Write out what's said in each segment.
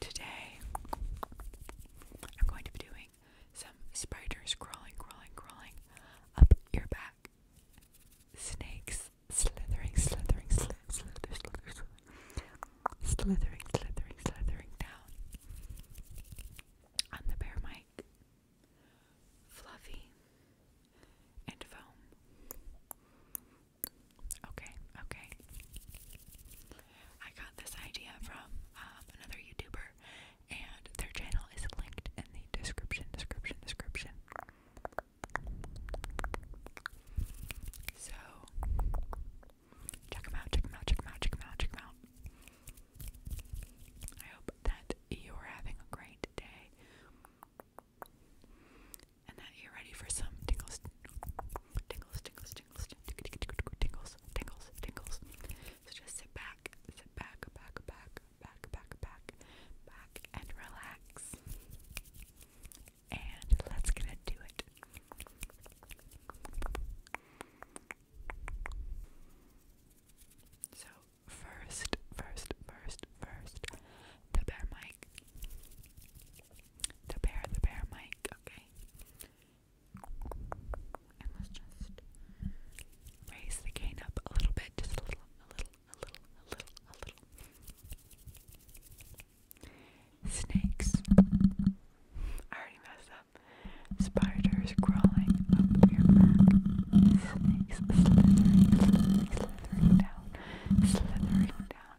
Today, I'm going to be doing some spiders crawling, crawling, crawling up your back, snakes slithering, slithering, slithering, slithering, slithering, slithering, down on the bear mic, fluffy and foam. Okay, okay. I got this idea from um, another YouTuber, and their channel is linked in the description, description, description. So, check them out, check them out, check them out, check them out. I hope that you are having a great day and that you're ready for some tingles, tingles, tingles, tingles, tingles, tingles, tingles, So just sit back, sit back, back, back, back, back, back, back, and relax. And let's get into it. So first, first, first, first, the bear mic the bear, the bear mic, okay? let's just raise the cane up a little bit, just a little, a little, a little, a little, a little. Snakes. already messed up. Spiders crawling up your back. Snakes slithering, slithering down, slithering down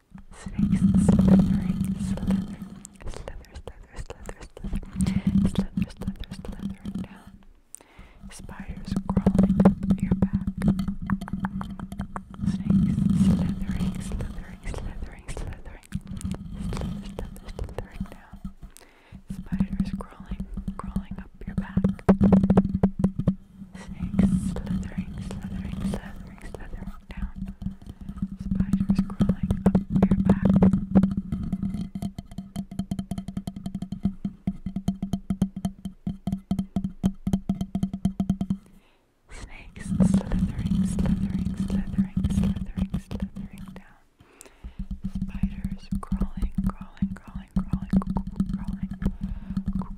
snakes, slithering, slither, slither, slither, slither, slither, slither, slither down. Spiders crawling up your back. Snakes slithering, slithering, slithering, slithering, slither, slither, slithering down. Spiders crawling, crawling up your back. Snakes slithering, slithering, slithering, slithering down. Spiders crawling up your back. Snakes slithering, slithering, slithering, slithering, slithering down. Spiders crawling, crawling, crawling, crawling, crawling, crawling,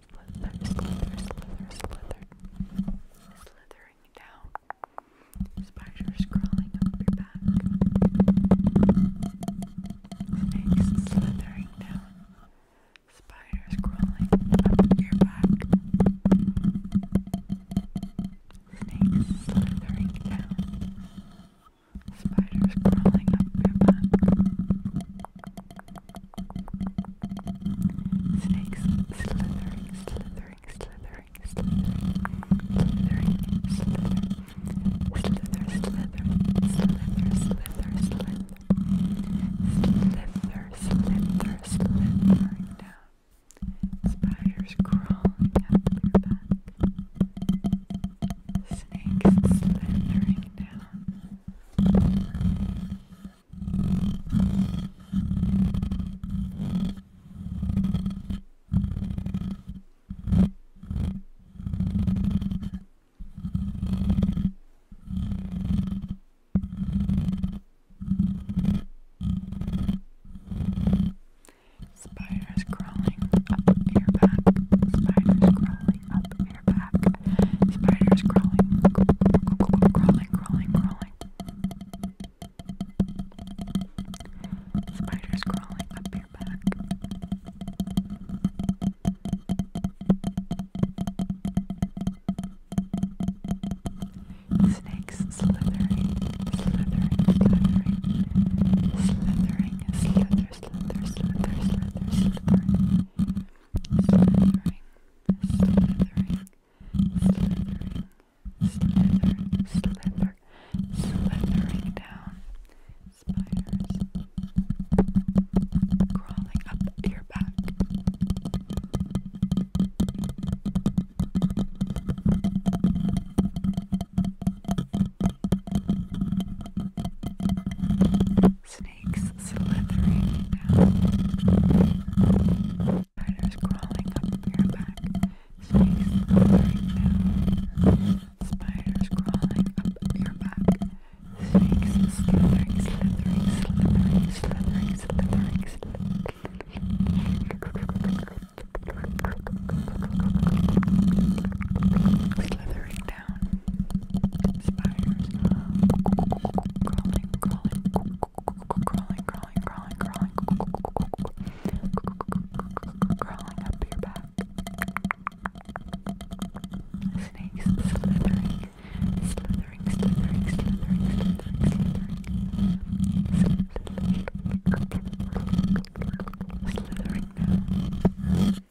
slither, Slithering down. Spiders crawling up your back. Snakes slithering down. Spiders crawling up your back. Snakes slithering down. Spiders crawling up your back. Snakes slithering, slithering, slithering, slithering, slithering, slither, slither, slither, slither, slither, slither, slither, slithering down. Spiders crawling up your back. Snakes slithering down. Spiders crawling up your back. Spiders crawling up your your back. Spiders crawling, crawling, crawling, crawling. Spiders crawling up your back. Snakes slithering, slithering, slithering, slithering, slither, slither, slither, slither, slither slithering, slithering, slithering, slither, slither, slithering down. Spiders crawling up your back. Snakes slithering down. Spiders crawling up your back. Snakes slithering down. Spiders crawling up your back. Snakes slithering, slithering, slithering, slithering, slithering, slithering. Slithering down spiders crawling, crawling, crawling, crawling, crawling, crawling, crawling up your back. Snakes slithering, slithering, slithering, slithering, slithering, slithering, slithering down.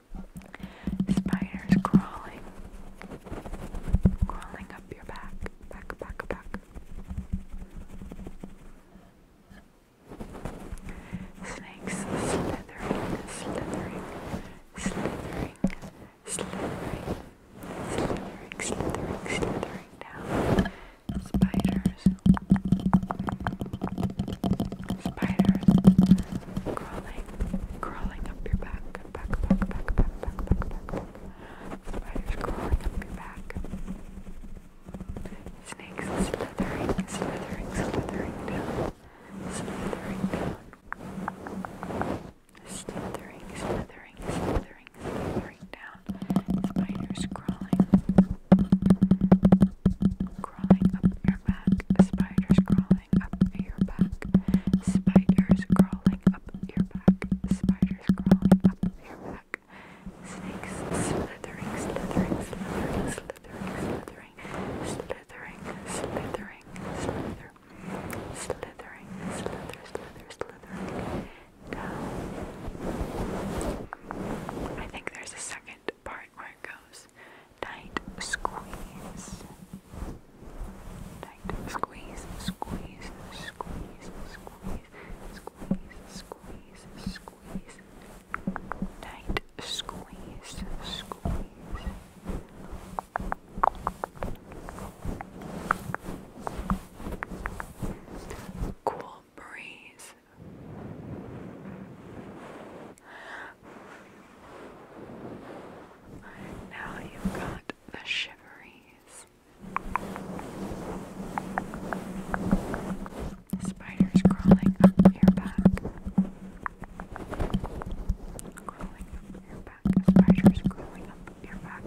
Spiders crawling. Crawling up your back. Back, back, back. Snakes slithering, slithering, slithering, slithering, slithering, slithering, down. Spiders. Spiders crawling, crawling up your back, back, back, back, back, back, back, back, back. Spiders crawling up your back. Snakes slithering, slithering, slithering down, slithering down. Slithering, slithering, slithering, slithering down. Spiders crawling crawling up your back, spiders crawling up your back, spiders crawling up your back, spiders crawling up your back, snakes slithering, slithering, slithering, slithering, slithering, slithering, slithering, slither, slithering, slither, slither, slithering down. I think there's a second part where it goes tight squeeze. Tight squeeze, squeeze, squeeze, squeeze, squeeze, squeeze, squeeze. Tight squeeze, squeeze. Cool breeze. Now you've got the shiveries. Spiders crawling up your back. Crawling up your back. Spiders crawling up your back.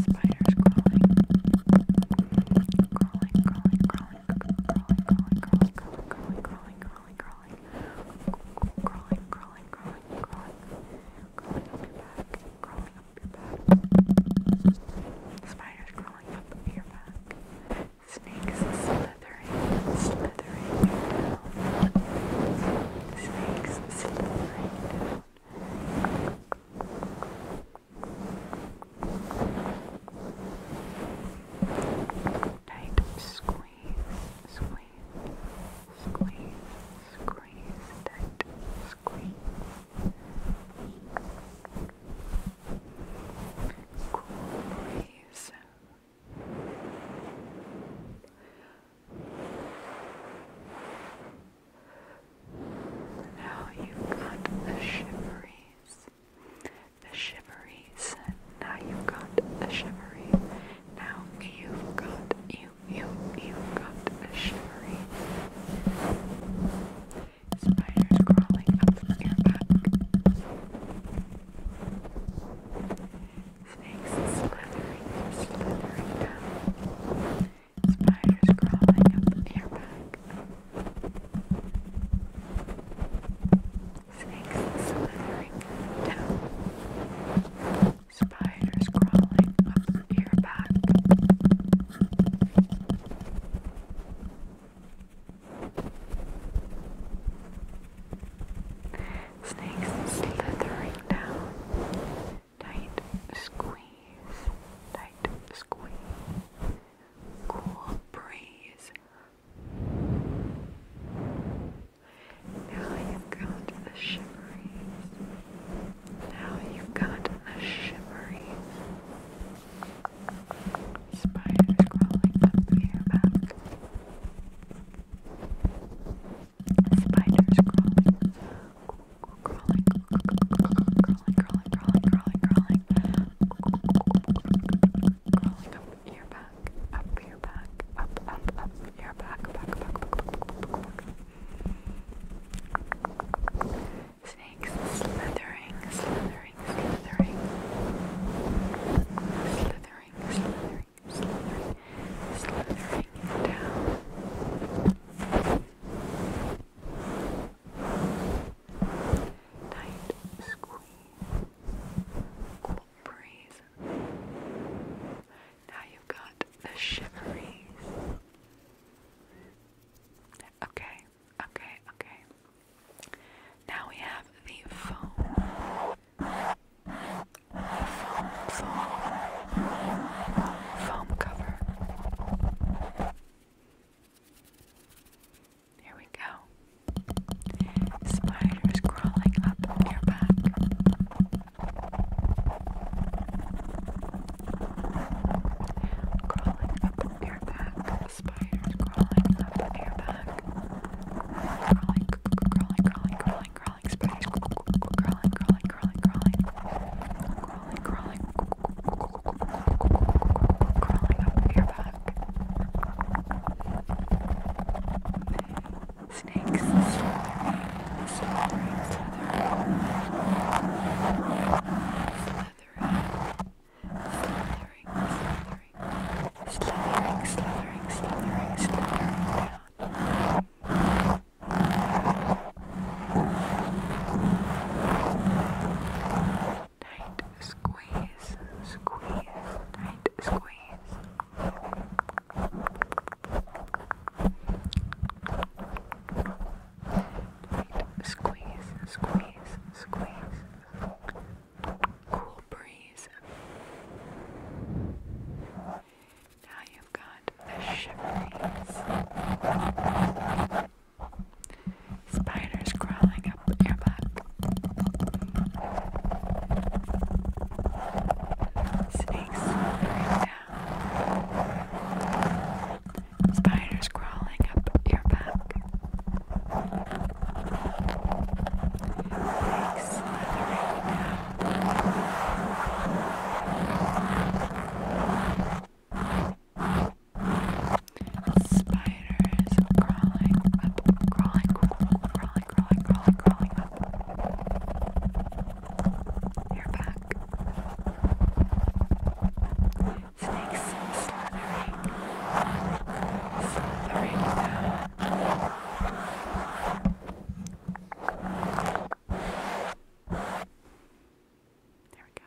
Spiders crawling, crawling, crawling, crawling, crawling, crawling, crawling, crawling, crawling, crawling, crawling, crawling, crawling, crawling up your back, crawling up your back. Spiders crawling up your back. Snakes slithering, slithering down. Snakes slithering down. Snakes Tight squeeze, squeeze, squeeze, squeeze, tight squeeze. Cool breeze. Now you've got the shiveries the shiveries. Now you've got the shiveries. Now you've got you you you've got the shiveries. Spiders crawling up your back. Snakes slithering, slithering down. Spiders crawling up your back. Snakes slithering down. Spiders crawling up your back. Snakes slithering down. Tight squeeze. Tight squeeze. Cool breeze now you've got the shimmeries. Now you've got the shimmeries. Spiders crawling up your back. Spiders crawling. Crawling, crawling, crawling, crawling, crawling, crawling, Rolling up your back, up your back, up, up, up your back, back, back, back, back, back, back. Snakes slithering, slithering, slithering, slithering, slithering, slithering, slithering down. Tight squeeze breeze. Now you got the shiveries. Okay, okay, okay. Now we have the Foam, foam, foam cover. Here we go. Spiders crawling up your back. Crawling up your back. Spiders crawling up your back. Crawling, crawling, crawling, crawling, crawling. Spiders crawling, crawling, crawling, crawling. Crawling, crawling, crawling up your back. Snakes slithering, slithering, slithering, slithering, slithering, slithering, slithering, slithering, slithering down. Slithering, Tight squeeze, squeeze, tight squeeze. Tight squeeze, squeeze, squeeze. Cool breeze. Now you've got the shiverings. Spiders crawling up your back. Snakes slithering down. Spiders crawling up your back. Snakes slithering down. Spiders crawling up, crawling, crawling, crawling, crawling, crawling, crawling up your back. Snakes slithering, slithering down. There we go.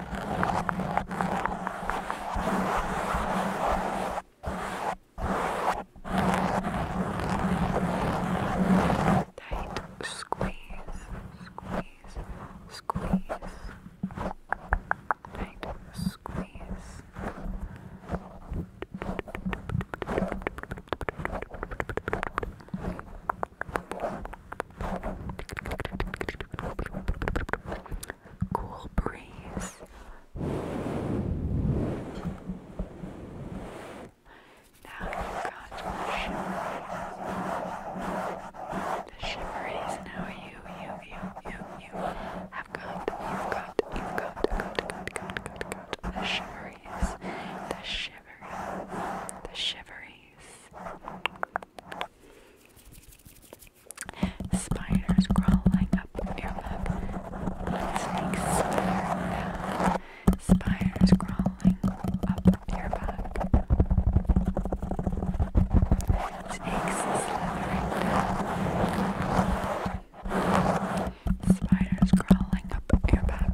Tight squeeze, squeeze, squeeze. Tight squeeze cool breeze. Now you've got the shimmeries. now you, you, you, you, you have got, you've got, you've got, got, got, got, got, got the shimmeries. The shivery, the shiveries. Spiders crawling up your lip. Snakes slithering Spiders crawling up your back. Snakes slithering Spiders crawling up your back.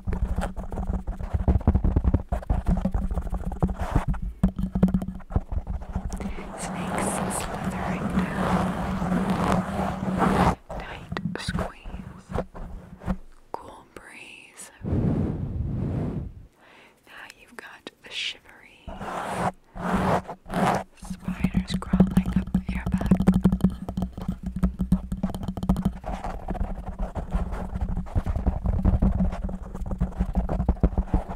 Snakes slithering down. Tight squeeze. Cool breeze. Now you've got the shivery. Spiders crawling up your back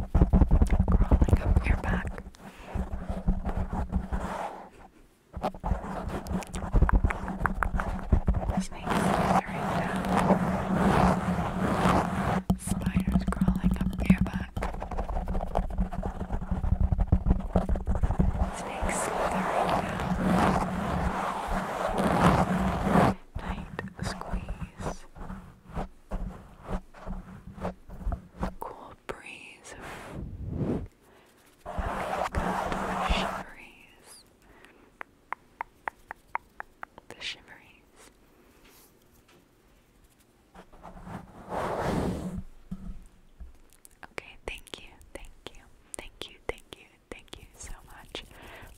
crawling up your back. Snakes slithering down. Spiders crawling up your back. Snakes slithering down. Tight squeeze cool breeze of shiveries. The shiveries. Okay, thank you, thank you, thank you, thank you, thank you so much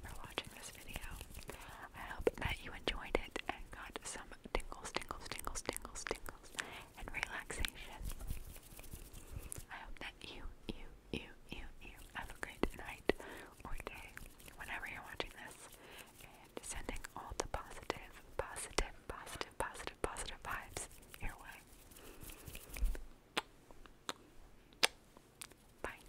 for watching this I hope that you enjoyed it and got some tingles, tingles, tingles, tingles, tingles, and relaxation. I hope that you, you, you, you, you have a great night or day whenever you're watching this and sending all the positive, positive, positive, positive, positive vibes your way. Bye.